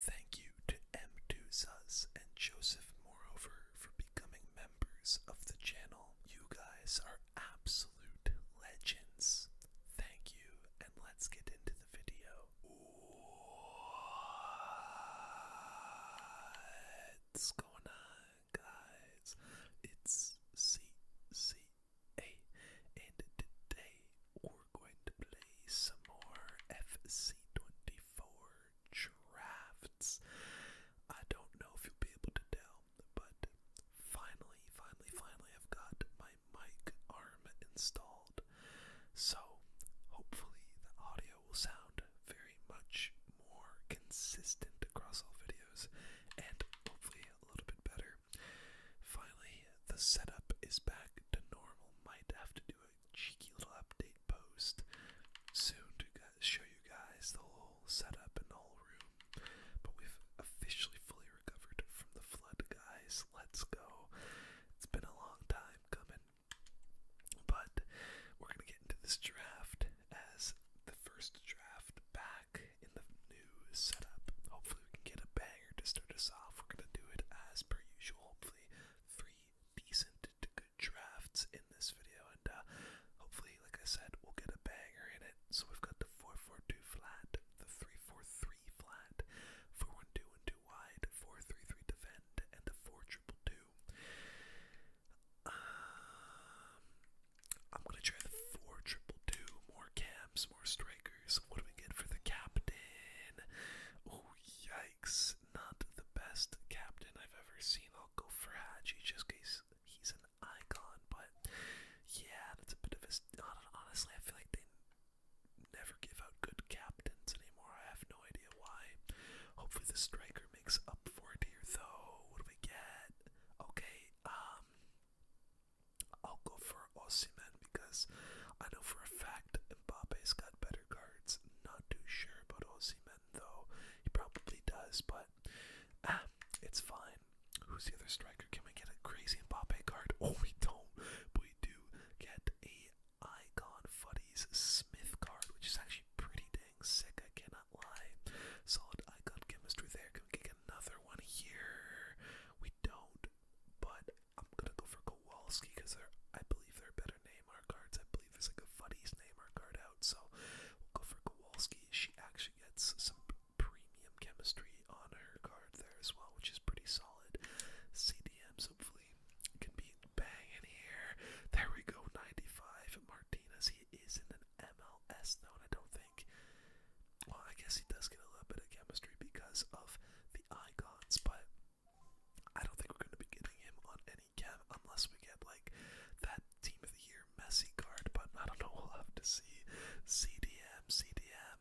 Thank you to M2 and Joseph Moreover for becoming members of the channel. You guys are absolute legends. Thank you, and let's get into the video. What's going on, guys? It's CCA, and today we're going to play some more FC24 drafts. I don't know if you'll be able to tell, but finally, finally, finally, I've got my mic arm installed. So, hopefully, the audio will sound very much more consistent across all videos and hopefully a little bit better. Finally, the setup is back to normal. Might have to do a cheeky little update post soon to show you guys the whole setup and whole room. But we've officially fully recovered from the flood, guys. Let's go. It's been a long time coming. But we're going to get into this draft as the first draft back in the new setup. Hopefully, we can get a banger to start us off. We're going to do it as per usual. Hopefully, three decent good drafts in this video, and uh, hopefully, like I said, we'll get a banger in it. So we've got the 442 flat, the 343 flat, 412 and 2 wide, 433 defend, and the 4222. Um, I'm gonna try the 4222, more cams, more strikers. What do we get for the captain? Oh, yikes not the best captain I've ever seen. I'll go for Haji just because he's an icon, but yeah, that's a bit of a. Honestly, I feel like they never give out good captains anymore. I have no idea why. Hopefully, the striker makes up for it here, though. What do we get? Okay, um. I'll go for Osimhen because I know for a fact Mbappe's got better center guards. Not too sure about Ozyman though. He probably does, but ah, it's fine. Who's the other striker? Can we get a crazy Mbappe card? Oh, we don't. But we do get a Icon Fuddies Smith card, which is actually pretty dang sick. I cannot lie. Solid Icon chemistry there. Can we get another one here? We don't. But I'm gonna go for Kowalski because they're I believe they're a better Neymar cards. I believe there's like a Fuddy's Neymar card out, so we'll go for Kowalski. She actually gets some premium chemistry on her card there as well, which is pretty solid. CDMs hopefully can be banging here. There we go, 95 Martinez. He isn't an MLS though, I don't think. Well, I guess he does get a little bit of chemistry because of the icons, but I don't think we're going to be getting him on any cap unless we get like that Team of the Year Messi card. But I don't know. We'll have to see. CDM CDM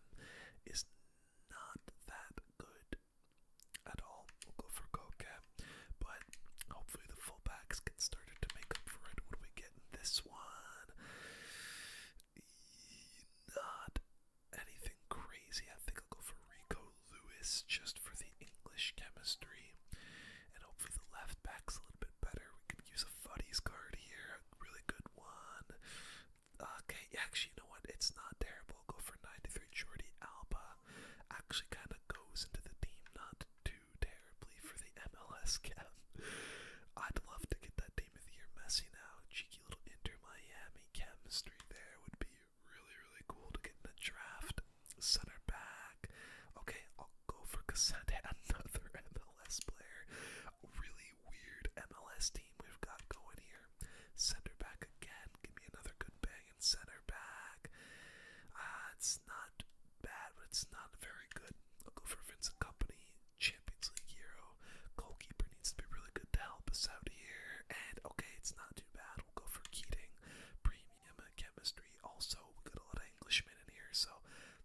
is not that good at all. We'll go for Coca, but hopefully the fullbacks get started to make up for it. What do we get in this one? Not anything crazy. I think I'll go for Rico Lewis just for the English chemistry. And hopefully the left back's a little bit better. We could use a Fuddy's card here, a really good one. Okay, actually, you know what? It's not terrible. I'll go for 93 Jordi Alba. Actually, kind of goes into the team not too terribly for the MLS cap. I'd love to get that team of the year Messi now. Cheeky little Inter Miami chemistry there would be really, really cool to get in the draft. Center back. Okay, I'll go for Cassandra, another MLS player. Really weird MLS team we've got going here. Center back again. Give me another good bang in center back. Uh, it's not bad, but it's not very good. I'll go for Vincent Company, Champions League Euro, goalkeeper needs to be really good to help us out here. And okay, it's not too bad. We'll go for Keating, premium chemistry. Also, we got a lot of Englishmen in here, so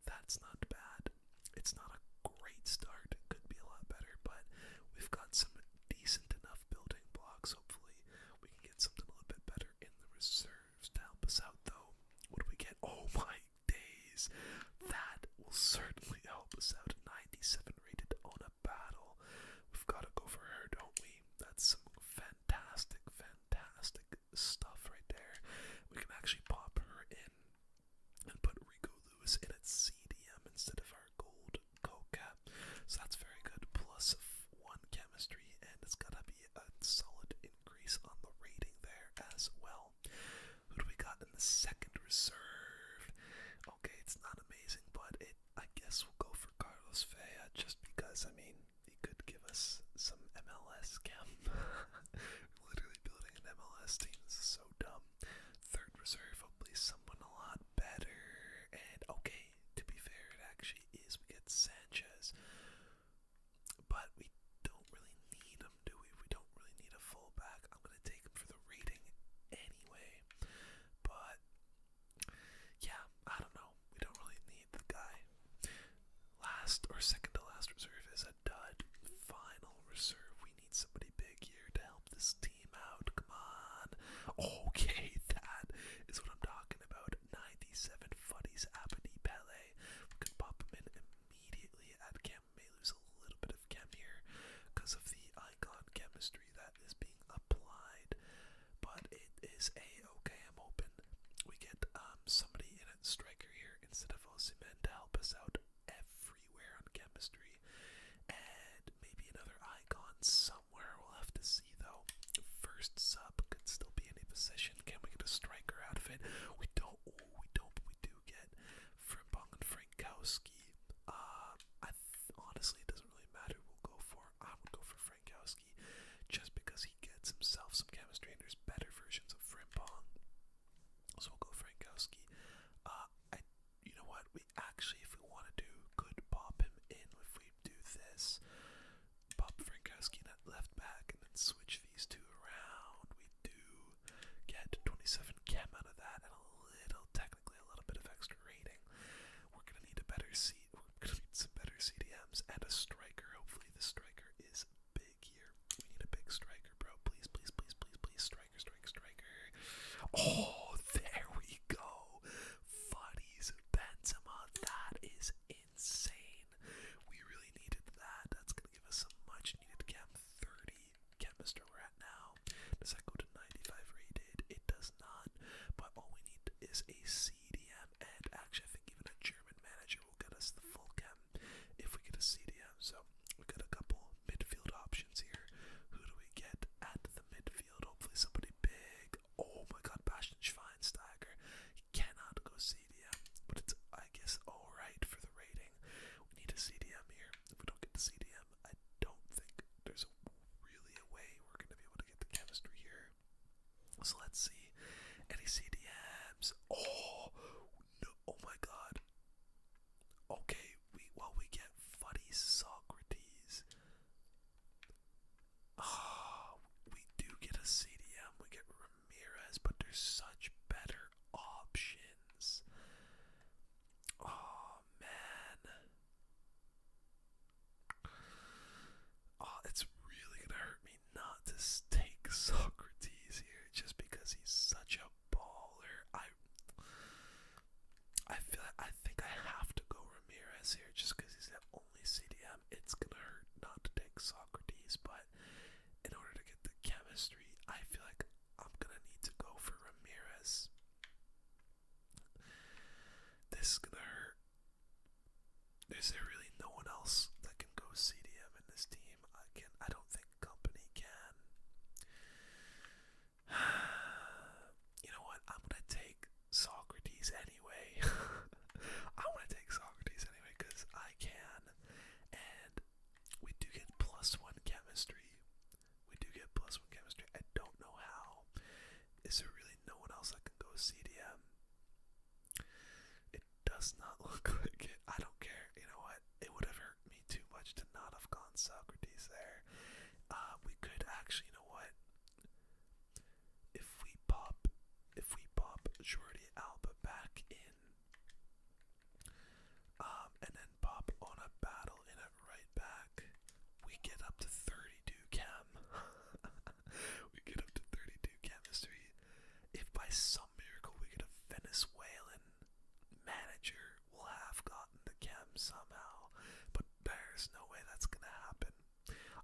that's not bad. It's not a great start. could be a lot better, but we've got some decent enough building blocks. Hopefully, we can get something a little bit better in the reserves to help us out, though. What do we get? Oh my days! That will certainly help us out. 97 rated on a battle. We've got to go for her, don't we? That's some fantastic, fantastic stuff right there. We can actually pop her in and put Rico Lewis in at CDM instead of our gold coca. So that's very good. Plus one chemistry, and it's going to be a solid increase on the rating there as well. Who do we got in the second reserve? Okay, it's not amazing but it I guess we'll go for Carlos Vea just because I mean he could give us some MLS cam. Literally building an MLS team is so dumb. Third reserve, hopefully someone a lot better. And okay, to be fair, it actually is we get Sanchez. But we don't really need him, do we? We don't really need a fullback. I'm gonna take him for the rating anyway. But yeah, I don't know. We don't really need the guy. Last or second to last reserve is a dud. Final reserve. We need somebody big here to help this team out. Come on. Okay, that is what I'm talking about. 97 Fuddies Pele. We could pop him in immediately at May lose a little bit chem here because of the icon chemistry that is being applied. But it is a okay. I'm open. We get um somebody in a striker here instead of Osimhen to help us out everywhere on chemistry, and maybe another icon somewhere. We'll have to see though. First sub could still be any position. Can we get a striker out of it? We don't. we don't. we do get Frimpong and Frankowski. Uh, honestly, it doesn't really matter who we'll go for. I would go for Frankowski just because he gets himself some chemistry and there's better versions of Frimpong. So we'll go Frankowski. Uh, I, you know what? We actually, if we want to do, could pop him in if we do this. Pop Frankowski in at left back and then switch these two around. We do get 27 chem out of that and a little technical likely a little bit of extra rating. We're gonna need a better seat. We're gonna need some better CDMs and a striker. Hopefully, the striker is big here. We need a big striker, bro. Please, please, please, please, please, striker, striker, striker. Oh, there we go. Fuddies Benzema. That is insane. We really needed that. That's gonna give us some much needed cam 30 canister we're at now. Does that go to 95 rated? It does not. But all we need is a CDM, and actually, I think even a German manager will get us the full chem if we get a CDM. So we got a couple midfield options here. Who do we get at the midfield? Hopefully, somebody big. Oh my God, Bastian Schweinsteiger. He cannot go CDM, but it's I guess all right for the rating. We need a CDM here. If we don't get the CDM. I don't think there's a, really a way we're going to be able to get the chemistry here. So let's see. Any CDMs? Oh, no. Oh my god. Okay, we well we get funny Socrates. Ah, we do get a CDM. We get Ramirez, but there's such better options. Oh Oh, man. Oh, it's really gonna hurt me not to take Socrates here just because he's such a baller. I I feel like I think I have to go Ramirez here just because he's the only CDM. It's gonna hurt not to take Socrates, but in order to get the chemistry, I feel like I'm gonna need to go for Ramirez. This is gonna hurt. Is there really no one else that can go CDM in this team? I can I don't think company can. you know what? I'm gonna take Socrates anyway. I wanna take Socrates anyway, because I can. And we do get plus one chemistry. We do get plus one chemistry. I don't know how. Is there really no one else that can go CDM? It does not look like it. I don't care. You know what? It would have hurt me too much to not have gone Socrates there. Uh, we could actually, you know what? If we pop, if we pop Jordi Alba back in, um, and then pop on a battle in a right back. We get up to 32 chem. we get up to 32 chemistry. If by some miracle we get a Venezuelan manager, we'll have gotten the chem somehow. But there's no way that's gonna happen.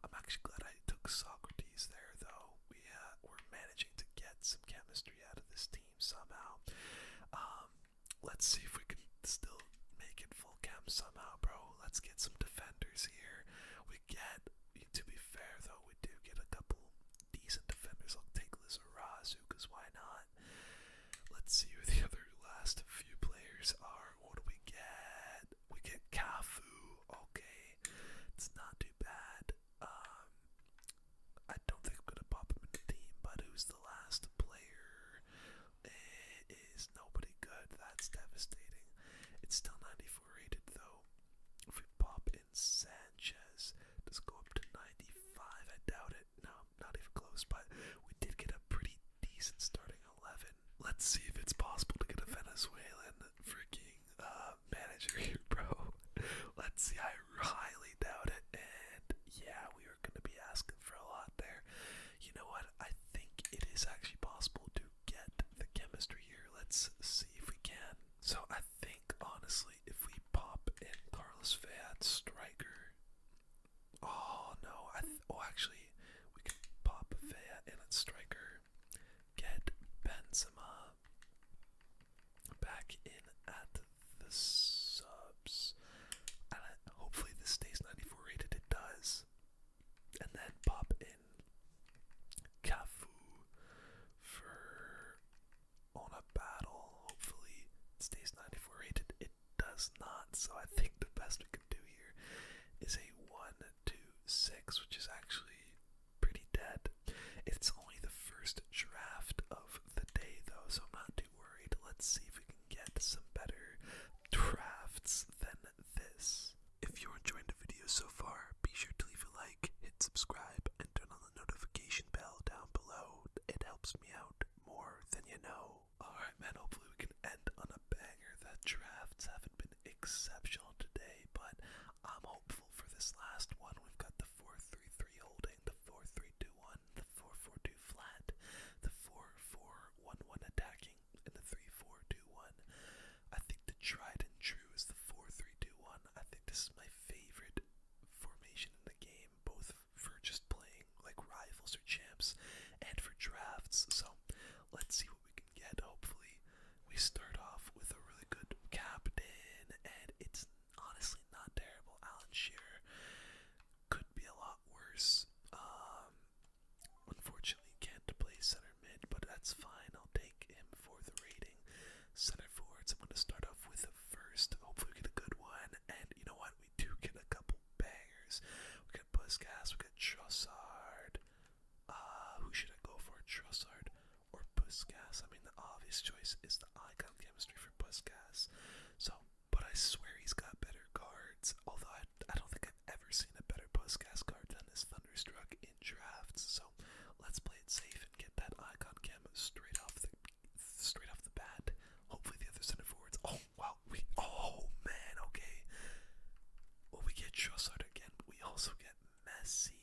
I'm actually glad I took Socrates there, though. We uh, were managing to get some chemistry out of this team somehow. Um, Let's see if we can still make it full camp somehow, bro. Let's get some defenders here. We get, to be fair though, we do get a couple decent defenders. I'll take Lizarazu, because why not? Let's see who the other last few players are. What do we get? We get Kafu. Okay, it's not too bad. Um, I don't think I'm gonna pop him in the team, but who's the last player? it is nobody good. That's devastating. It's still 94 rated though. If we pop in Sanchez, does it go up to 95? I doubt it. No, not even close. But we did get a pretty decent starting 11. Let's see if it's possible to get a Venezuelan freaking uh, manager here, bro. Let's see. I highly doubt it. And yeah, we are going to be asking for a lot there. You know what? I think it is actually possible to get the chemistry here. Let's see if we can. So I think, honestly, if we pop in Carlos Fayad Striker. Oh, no. I oh, actually, we can pop Fayad in and Striker. Get Benzema back in at the subs. And hopefully this stays 94 rated. It does. And then pop in Cafu for on a battle. Hopefully it stays 94 rated. It does not. So I think the best we can do here is a 1, 2, 6, which is actually pretty dead. It's only the first draft of the day though, so not too worried. Let's see if we can get some better drafts than this. If you're enjoying the video so far, be sure to leave a like, hit subscribe, and turn on the notification bell down below. It helps me out more than you know. Alright, man, hopefully we can end on a banger. The drafts haven't been exceptional today, but I'm hopeful for this last one. We've got the 4 3 3 hold the 4 the 4 flat, the 4 attacking, and the 3 I think the tried and true is the 4-3-2-1. I think this is my favorite formation in the game, both for just playing like rivals or champs and for drafts. So let's see what we can get. Hopefully, we start off with a really good cap day, and it's honestly not terrible. Alan Shearer could be a lot worse. Um, unfortunately, can't play center mid, but that's fine. I'll take him for the rating. Center forwards, I'm going to start off with a first. Hopefully, we get a good one. And you know what? We do get a couple bangers. We got Puskas, we got Trussard. Ah, uh, who should I go for? Trussard or Puskas? I mean, the obvious choice is the icon chemistry for Puskas. So but I swear he's got better cards. Although I, don't think I've ever seen a better postcast card than his Thunderstruck in drafts. So let's play it safe and get that icon cam straight off the straight off the bat. Hopefully the other center forwards. Oh wow, we oh man, okay. Well we get Trossard again, but we also get Messi.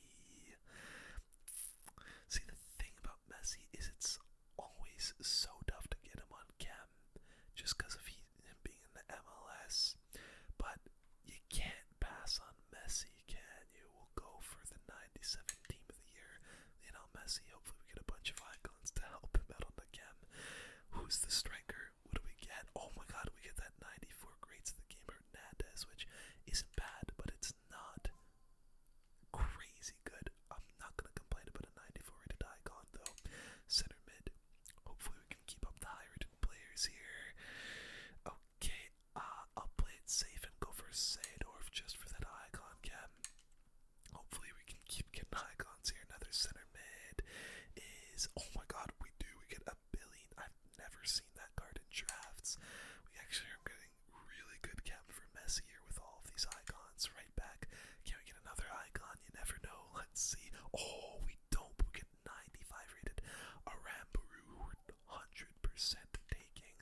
See the thing about Messi is it's always so tough to get him on cam, just because of he, him being in the MLS. But you can't pass on Messi, can you? We'll go for the '97 team of the year. You know, Messi, hopefully we get a bunch of icons to help him out on the chem. Who's the striker? What do we get? Oh my god, we get that 94 greats of the game, Hernandez, which isn't bad, but it's not crazy good. I'm not gonna complain about a 94 rated icon though. Center mid. Hopefully we can keep up the high rated players here. Okay, uh, I'll play it safe and go for Seydorf just for that icon cap. Hopefully we can keep getting icons here. Another center mid is oh my god, we do we get a billion. I've never seen that card in drafts. We actually are getting really good camp for Messi here with all of these icons. Right back. Can we get another icon? You never know. Let's see. Oh, we don't. We get 95 rated. a we 100% taking.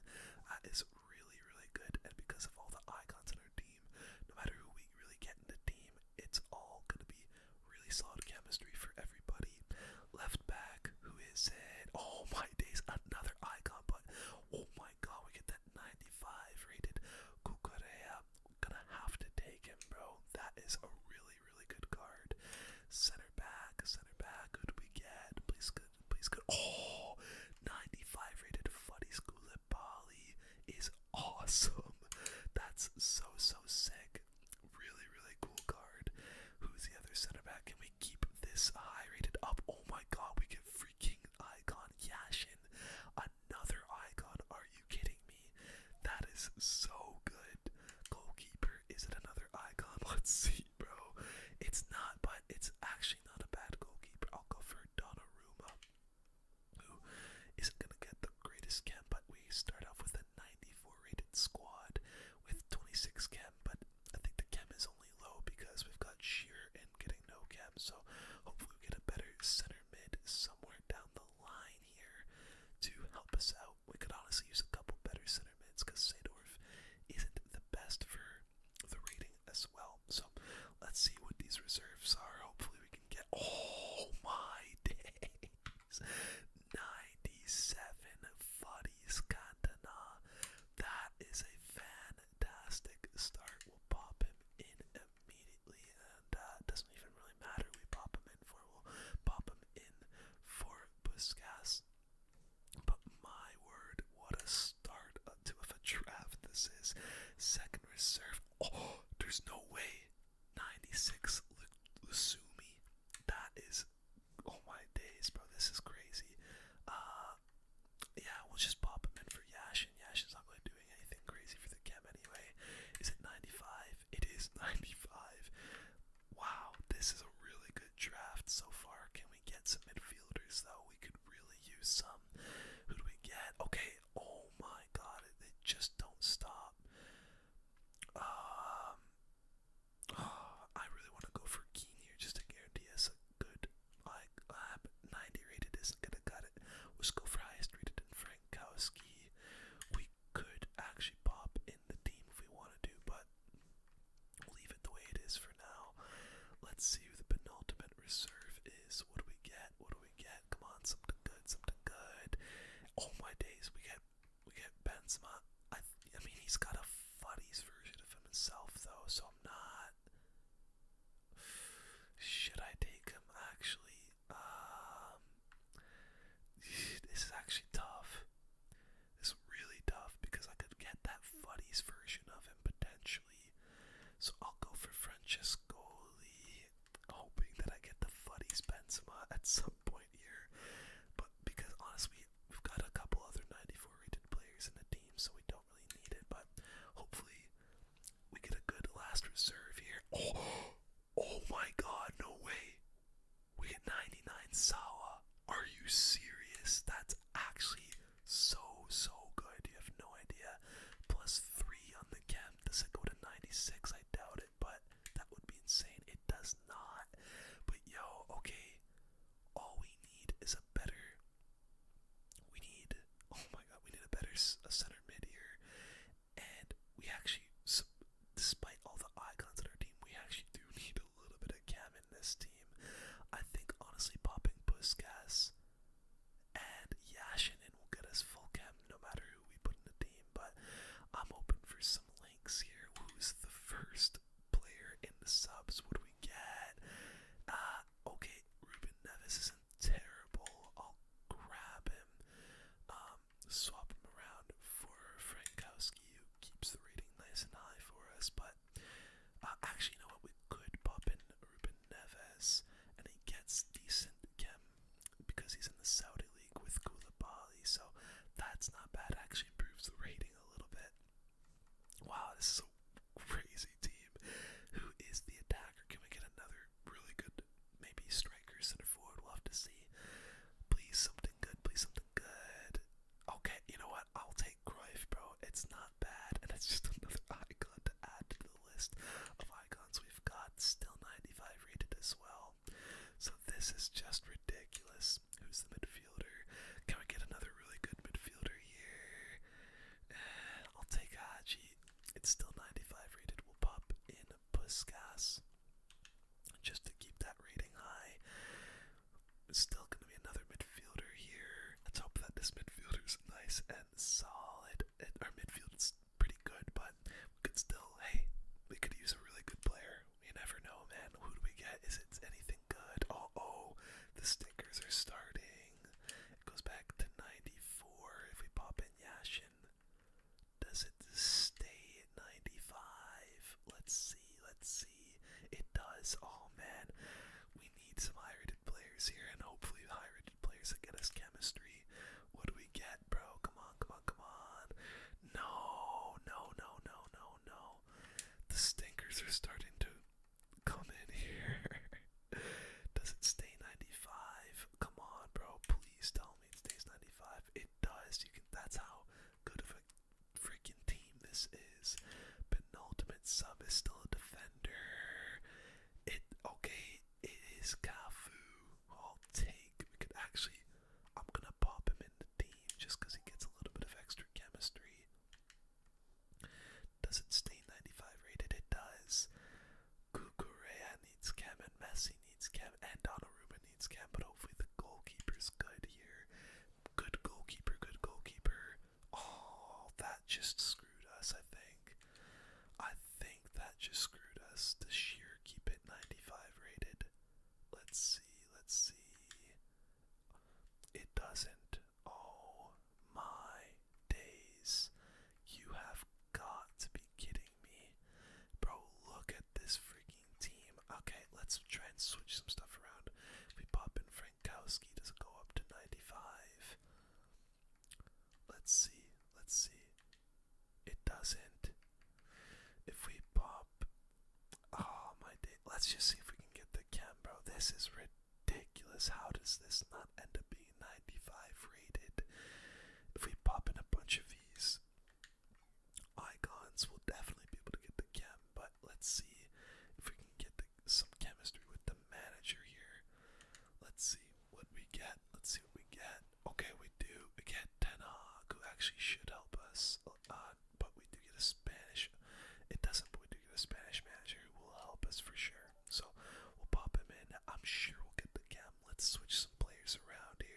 That is really, really good. And because of all the icons in our team, no matter who we really get in the team, it's all going to be really solid chemistry for everybody. Left back, who is it? Oh my days, another icon, but oh my my god, we get that 95 rated Kukurea. Gonna have to take him, bro. That is a really, really good card. Center back, center back. Who do we get? Please good, please good. Oh, 95 rated Fuddy Skulipali is awesome. That's so, so sick. Really, really cool card. Who's the other center back? Can we keep this high rated up? Oh my god, we get freaking icon. Yashin, another icon. Are you kidding me? That is so good. Goalkeeper, is it another icon? Let's see, bro. It's not, but it's actually not a bad goalkeeper. I'll go for Donnarumma, who isn't gonna get the greatest chem, but we start off with a 94 rated squad with 26 chem, but I think the chem is low because we've got Shearer and getting no chem, so hopefully we get a better center mid somewhere down the line here to help us out. We could honestly use a couple better center mids because Sadorf isn't the best for the rating as well. So let's see what these reserves are. Hopefully we can get Oh my days. 97 Fuddies Cantona. That is a fan fantastic start. We'll pop him in immediately, and uh, doesn't even really matter. We pop him in for we'll pop him in for Busquets. But my word, what a start to a draft this is. Second reserve. Oh, there's no way. 96 Lusumi. That is, oh my days, bro. This is crazy. Uh, um, yeah, we'll just pop him in for Yash, and Yash is not really doing anything crazy for the chem anyway. Is it 95? It is 95. Wow, this is a really good draft so far. Can we get some midfielders though? We could really use some. Who do we get? Okay, oh my god, they just don't stop. Um, I really want to go for Keen just to guarantee us good. Like Lab 90 rated not gonna cut it. Let's go for highest rated in Frankowski. We could actually pop in the team if we wanted to, but leave it the way it is for now. Let's see who the penultimate reserve is. What do we get? What do we get? Come on, something good, something good. Oh my days, we get we get Benzema. I I mean he's got a funnies version of himself though, so I'm not should I take him actually? Um, this is actually tough. It's really tough because I could get that Fuddy's version of him potentially. So I'll go for Francesco, hoping that I get the Fuddy's Benzema at some point here. But because honestly, we've got a couple other 94 rated players in the team, so we don't really need it. But hopefully, we get a good last reserve here. Oh, my god, no way. We get 99 Sawa. Are you serious? That's actually so, so good. You have no idea. Plus 3 on the chem. Does it go to 96? I doubt it, but that would be insane. It does not. But yo, okay. All we need is a better we need, oh my god, we need a better a center mid here. And we actually, despite all the icons in our team, we actually do need a little bit of cam in this team. I think, honestly, popping Puskas and Yashinin will get us full cam no matter who we put in the team. But I'm open for some links here. Who's the first player in the subs? What do we get? Uh, Okay, Ruben Nevis isn't terrible. I'll grab him. Um, swap him around for Frankowski, who keeps the rating nice and high for us. But uh, actually, you know what? We could pop in Ruben Neves, and he gets decent chem because he's in the Saudi League with Koulibaly. So that's not bad. Actually improves the rating a little bit. Wow, this is a crazy team. Who is the attacker? Can we get another really good, maybe striker, center forward? we to see. Please, something good. Please, something good. Okay, you know what? I'll take Cruyff, bro. It's not bad, and it's just another icon to add to the list of icons we've got. Still 95 rated as well. So this is just ridiculous. Who's the midfielder? Can we get another really good midfielder here? I'll take Haji. It's still 95 rated. We'll pop in a Puskas just to keep that rating high. It's still going to be another midfielder here. Let's hope that this midfielder is nice and solid. It, our midfield's pretty good, but we could still, hey, we could use a really good player. We never know, man. Who do we get? Is it anything good? Oh, oh, the stickers are starting. It goes back to 94. If we pop in Yashin, does it stay at 95? Let's see, let's see. It does. Oh man, we need some high rated players here, and hopefully, high rated players that get us chemistry. What do we get, bro? Come on, come on, come on. No, no, no, no, no, no. The stinkers are starting to Come in here. Does it stay 95? Come on, bro. Please tell me it stays 95. It does. You can. That's how good of a freaking team this is. Penultimate sub is still a defender. It okay. It is Cafu. I'll take. We could actually. I'm gonna pop him in the team just because he gets a little bit of extra chemistry. Does it stay 95 rated? It does. Kukurea needs cam and Messi needs cam and Donnarumma needs cam, but hopefully the goalkeeper's good here. Good goalkeeper, good goalkeeper. Oh, that just screwed us, I think. I think that just screwed us. Does Sheer keep it 95 rated? Let's see, let's see. It doesn't. Oh my days. You have got to be kidding me. Bro, look at this freaking team. Okay, let's try and switch some stuff around. We pop in Frankowski, does not go up to 95? Let's see, let's see. It doesn't. If we pop. Oh my day. Let's just see if we can get the cam, bro. This is written ridiculous. How does this not end up being 95 rated? If we pop in a bunch of these icons, we'll definitely be able to get the chem, but let's see if we can get some chemistry with the manager here. Let's see what we get. Let's see what we get. Okay, we do We get Tenag, who actually should help us, uh, but we do get a Spanish. It doesn't, but we to a Spanish manager who will help us for sure. So we'll pop him in. I'm sure we'll get the cam. Let's switch some players around here.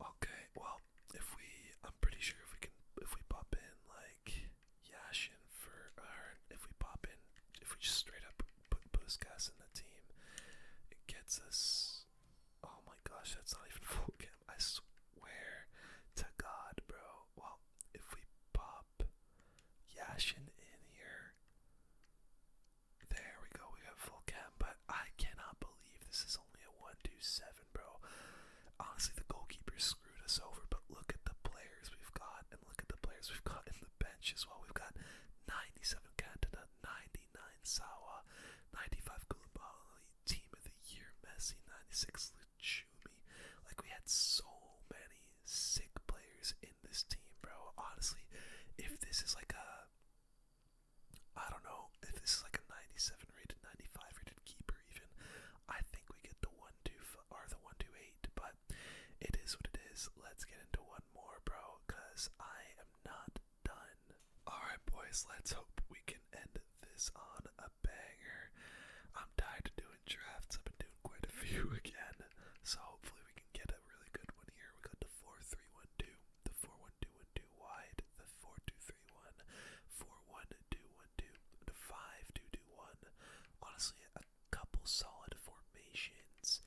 Okay, well, if we, I'm pretty sure if we can, if we pop in like Yashin for, or if we pop in, if we just straight up put Puskas in the team, it gets us. Oh my gosh, that's not even full camp. I swear to God, bro. Well, if we pop Yashin in here, there we go, we got full cam, but I cannot believe this is only a 1-2-7, bro. Honestly, the goalkeepers screwed us over, but look at the players we've got, and look at the players we've got in the bench as well. We've got 97 Cantona, 99 Sawa, 95 Koulibaly, Team of the Year Messi, 96 Luchumi. Like, we had so many sick players in this team, bro. Honestly, if this is like a I don't know, if this is like a 97 rated, 95 rated keeper even, I think we get the 1-2 or the 1-2-8, but it is what it is. Let's get into one more, bro, because I am not done. Alright, boys, let's hope we can end this on a banger. I'm tired of doing drafts. I've been doing quite a few again, so hopefully we can get a really good one here. We got the 4 the 4 wide, the 4 the 5 Honestly, a couple solid formations.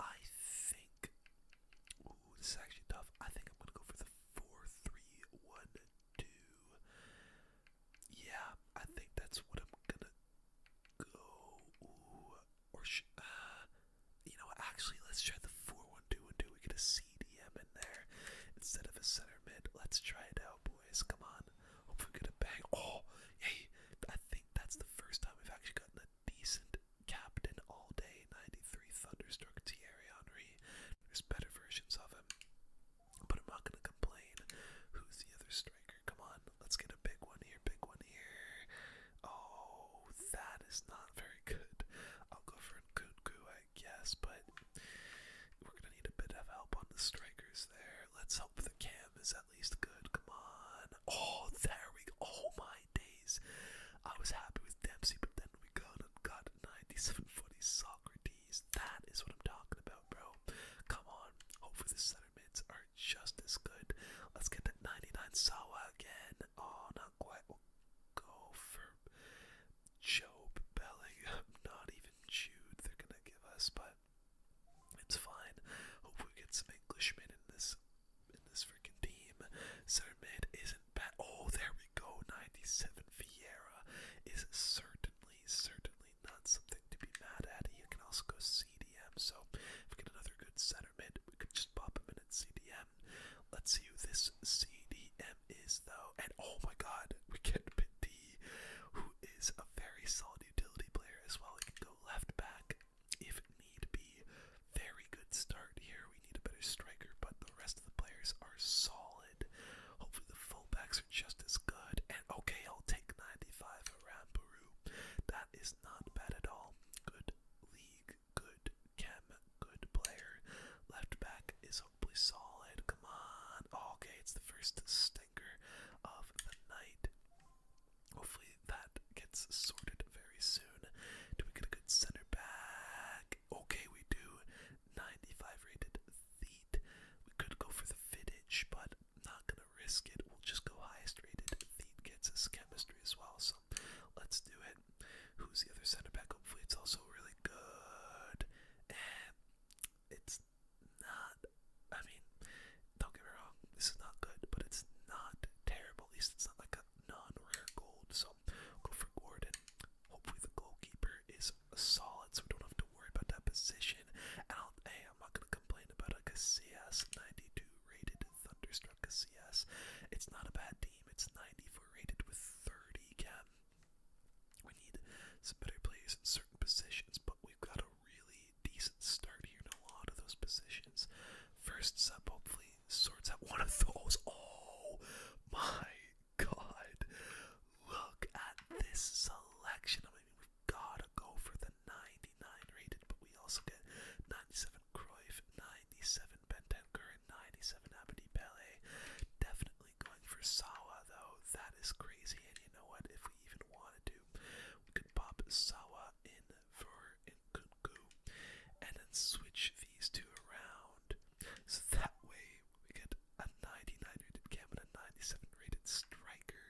I think, ooh, this is actually tough. I think I'm going to go for the 4 Yeah, I think that's what I'm going to go. or uh, you know, actually, let's try the four one two and two. We get a CDM in there instead of a center mid. Let's try it out, boys. Come on. Hopefully, we get a bang. Oh, hey, I think that's the first time we've actually gotten a decent captain all day. Ninety three Thunderstruck Thierry Henry. There's better versions of him, but I'm not gonna complain. Who's the other Come on, let's get a big one here, big one here. Oh, that is not very good. I'll go for a Nkunku, I guess, but we're gonna need a bit of help on the strikers there. Let's hope the cam is at least good. Come on. Oh, there we go. Oh my days. I was happy with Dempsey, but then we got and got 97 footy Socrates. That is what I'm talking about, bro. Come on. Hopefully the center mids are just as good. Let's get that 99 Sawa again. Oh, not quite. We'll go for Job Bellingham. Not even Jude they're going to give us, but it's fine. Hopefully we get some Englishmen in this in this freaking team. Center mid isn't bad. Oh, there we go. 97 Vieira is certainly, certainly not something to be mad at. You can also go see. CDM. So if we get another good centerman, we could just pop him in at CDM. Let's see who this CDM is, though. And oh my god, we get D, who is a very solid utility player as well. We can go left back if need be. Very good start here. We need a better striker, but the rest of the players are solid. Hopefully, the fullbacks are just as good. And okay, I'll take 95 around Peru. That is not bad at all. Good league, good chem, good player. Left back is hopefully solid. Come on. Oh, okay, it's the first stinker of the night. Hopefully that gets sorted very soon. Do we get a good center back? Okay, we do. 95 rated feet. We could go for the vintage, but not gonna risk it. We'll just go highest rated. Thede gets us chemistry as well, so let's do it. Who's the other center back? Hopefully, it's also really good. And it's not. I mean, don't get me wrong. This is not good, but it's not terrible. At least it's not like a non-rare gold. So go for Gordon. Hopefully, the goalkeeper is solid, so we don't have to worry about that position. And I'll, hey, I'm not gonna complain about a Casillas 92 rated Thunderstruck CS. It's not a bad team. It's 94 rated with 30 cam. We need some better players in certain positions, but we've got a really decent start here in a lot of those positions. First sub hopefully sorts out one of those. Oh my god. Look at this selection. I mean, we've got to go for the 99 rated, but we also get 97 Cruyff, 97 Benten Curran, 97 Abedi Pele. Definitely going for Sawa though. That is crazy, and you know what? If we even wanted to, we could pop Sawa in for Nkunku and then switch these two around. So that way we get a 99 rated Cam and a 97 rated striker.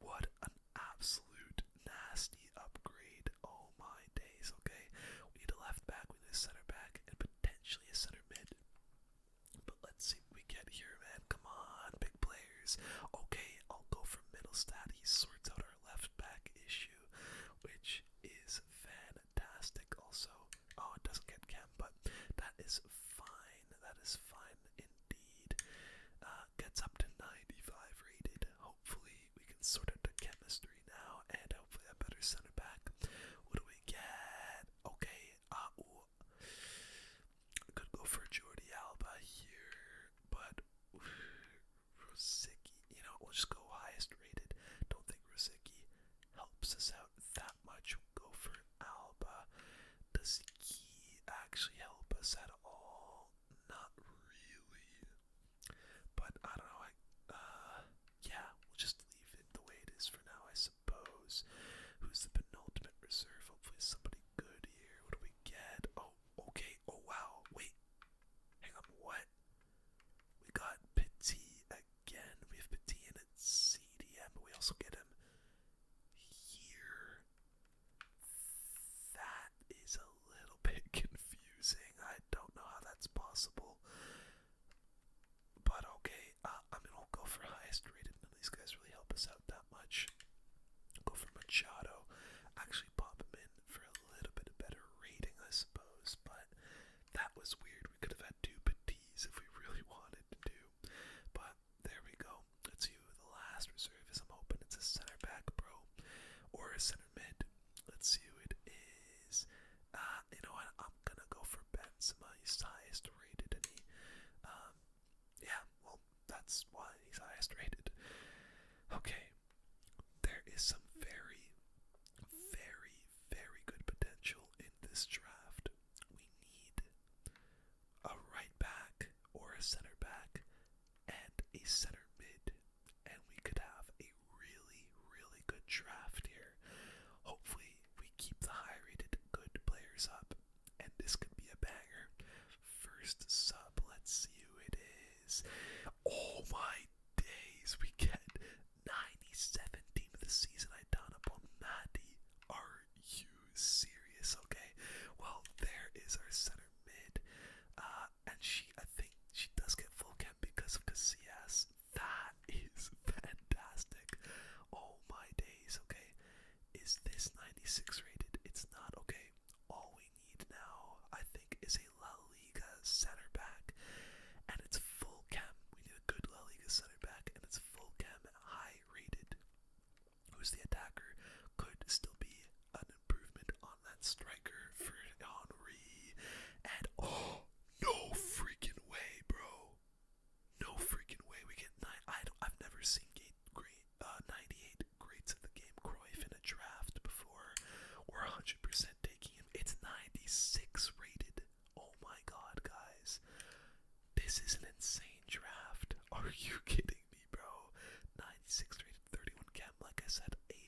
What a absolute nasty upgrade. Oh my days, okay? We need a left back, we need a center back, and potentially a center mid. But let's see what we get here, man. Come on, big players. Okay, I'll go for middle stat. He sorts out our left back issue, which is fantastic. Also, oh, it doesn't get cam, but that is fine. That is fine indeed. Uh, gets up to 95 rated. Hopefully, we can sort out the chemistry now, and hopefully, a better center back. What do we get? Okay, uh, ooh. I could go for Jordi Alba here, but Rosicky, you know, we'll just go highest rated. Don't think Rosicky helps us out that much. We'll go for Alba. Does he actually help us at all? not really. But I don't know. I uh, yeah, we'll just leave it the way it is for now, I suppose. Who's the penultimate reserve? Hopefully, somebody good here. What do we get? Oh, okay. Oh wow. Wait. Hang on. What? We got Petit again. We have Petit in at CDM, but we also get him here. That is a little bit confusing. I don't know how that's possible. But okay, uh, I am gonna go for highest rated. None of these guys really help us out that much. go for Machado. Actually, pop him in for a little bit of better rating, I suppose. But that was weird. We could have had two Petits if we really wanted to do. But there we go bro. That's you. The last reserve is I'm hoping it's a center back, bro, or a center mid. Let's see who it is. Uh, you know what? I'm gonna go for Benzema. He's highest rated, and he, um, yeah, well, that's why he's highest rated. Okay, there is some very, very, very good potential in this draft. We need a right back or a center back and a center mid, and we could have a really, really good draft here. Hopefully, we keep the high rated good players up, and this could be a banger. First sub, let's see who it is. Oh my days, we get 97 of the season. I down upon Maddie. Are you serious, okay? Well, there is our center mid. Uh, and she, I think she does get full camp because of Casillas. That is fantastic. Oh my days, okay? Is this 96 rated? It's not, okay? All we need now, I think, is a La Liga center back. And it's full cam. We need a good La Liga center back, and it's full cam high rated who's the attacker, could still be an improvement on that striker for Henri. And oh, no freaking way, bro! No freaking way. We get nine. I I've never seen eight, great, uh, 98 greats of the game Cruyff in a draft before. We're 100% taking him. It's 96 rated. Oh my god, guys. This is an insane draft. Are you kidding me? me, bro. 96 rated 31 cam. Like I said, a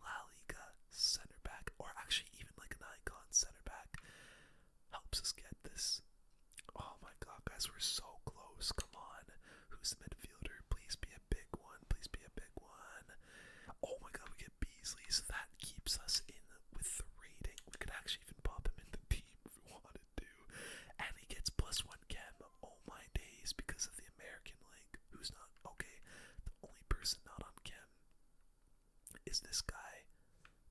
La Liga center back, or actually even like an icon center back, helps us get this. Oh my god, guys, we're so close. Come on. Who's the midfielder? Please be a big one. Please be a big one. Oh my god, we get Beasley, so that keeps us in with the rating. We could actually even pop him in the team if we wanted good And he gets plus one cam. Oh my days, because of the American League. Who's not okay? The only person not on cam is this guy.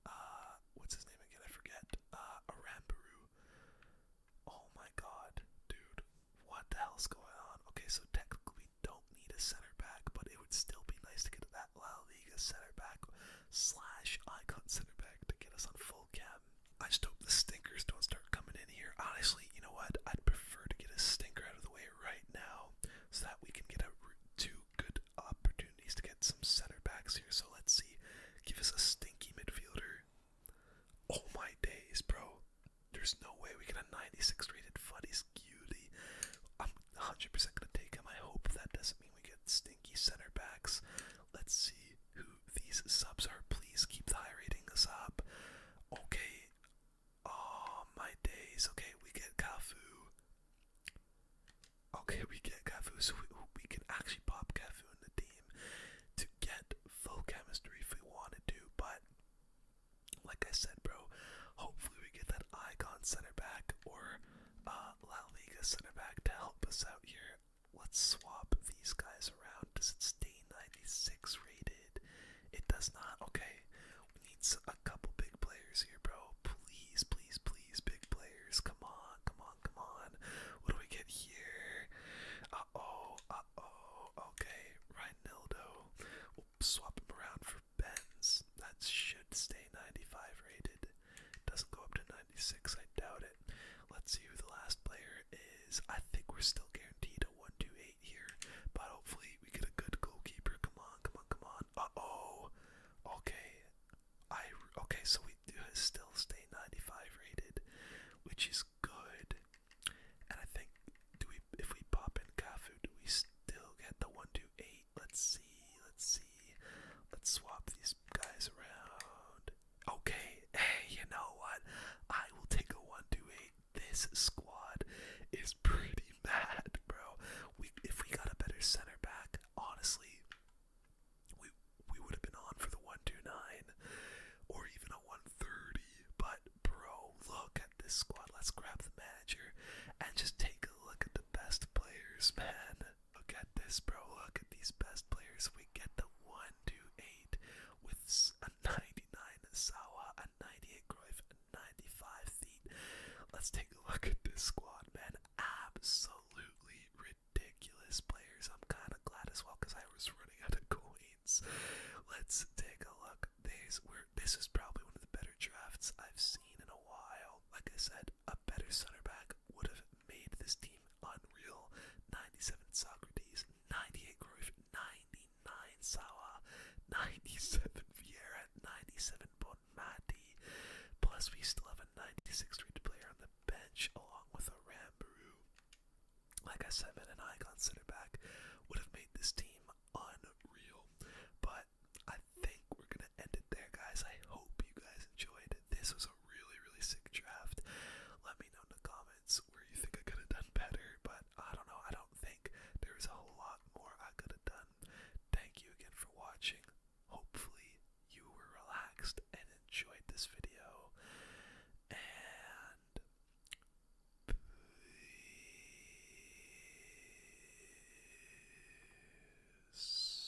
Uh, what's his name again? I forget. Uh, Aramburu. Oh my god, dude. What the hell's going on? Okay, so technically we don't need a center back, but it would still be nice to get that La Liga center back slash icon center back to get us on full full oh, I just hope the stinkers don't start coming in here. Honestly, you know what? I'd prefer to get a stinker out of the way right now so that we can get a, two good opportunities to get some center backs here. So let's see. Give us a stinky midfielder. Oh my days, bro. There's no way we get a 96 rated Fuddy's cutie. I'm 100% going to take him. I hope that doesn't mean we get stinky center backs. Let's see who these subs are. Please keep the high ratings up. Okay. Oh my days. Okay, we get Kafu. Okay, we get Kafu, so we, we can actually pop Kafu in the team to get full chemistry if we wanted to. But like I said, bro, hopefully we get that icon center back or uh, La Liga center back to help us out here. Let's swap these guys around. Does it stay 96 rated? It does not. Okay. We need a couple big players here, bro. Please, please, please, big players. Come on, come on, come on. What do we get here? Uh oh, uh oh. Okay, Rhinildo. We'll swap him around for Benz. That should stay 95 rated. Doesn't go up to 96. I doubt it. Let's see who the last player is. I think we're still guaranteed a 1 2 8 here, but hopefully we get a good goalkeeper. Come on, come on, come on. Uh oh. Okay. I okay, so we do still stay 95 rated, which is good. And I think do we if we pop in Kafu, do we still get the 1 2 8? Let's see. Let's see. Let's swap these guys around. Okay, hey, you know what? I will take a 1 2 8. This squad is pretty mad, bro. We if we got a better center back, honestly, we we would have been on for the 129 or even a 130. But bro, look at this squad. Let's grab the manager and just take a look at the best players, man. Okay, this, bro. Look at these best players. We get the 1, 2, 8 with a 99 Sawa, a 98 Cruyff, a 95 Feet. Let's take a look at this squad, man. Absolutely ridiculous players. I'm kind of glad as well because I was running out of coins. Let's take a look. These were, this is probably one of the better drafts I've seen in a while. Like I said, a better center back would have made this team unreal. 97 Socrates, 98 Cruyff, 99 Sawa, 97 Vieira, 97 Bonmati. Plus, we still have a 96 rated player on the bench along with a Rambo. Like I said, Van and I got center back would have made this team unreal. But I think we're gonna end it there, guys. I hope you guys enjoyed. This was a really, really sick draft. Let me know in the comments where you think I could have done better, but I don't know. I don't think there's a whole lot more I could have done. Thank you again for watching. Hopefully, you were relaxed and enjoyed this video. And peace.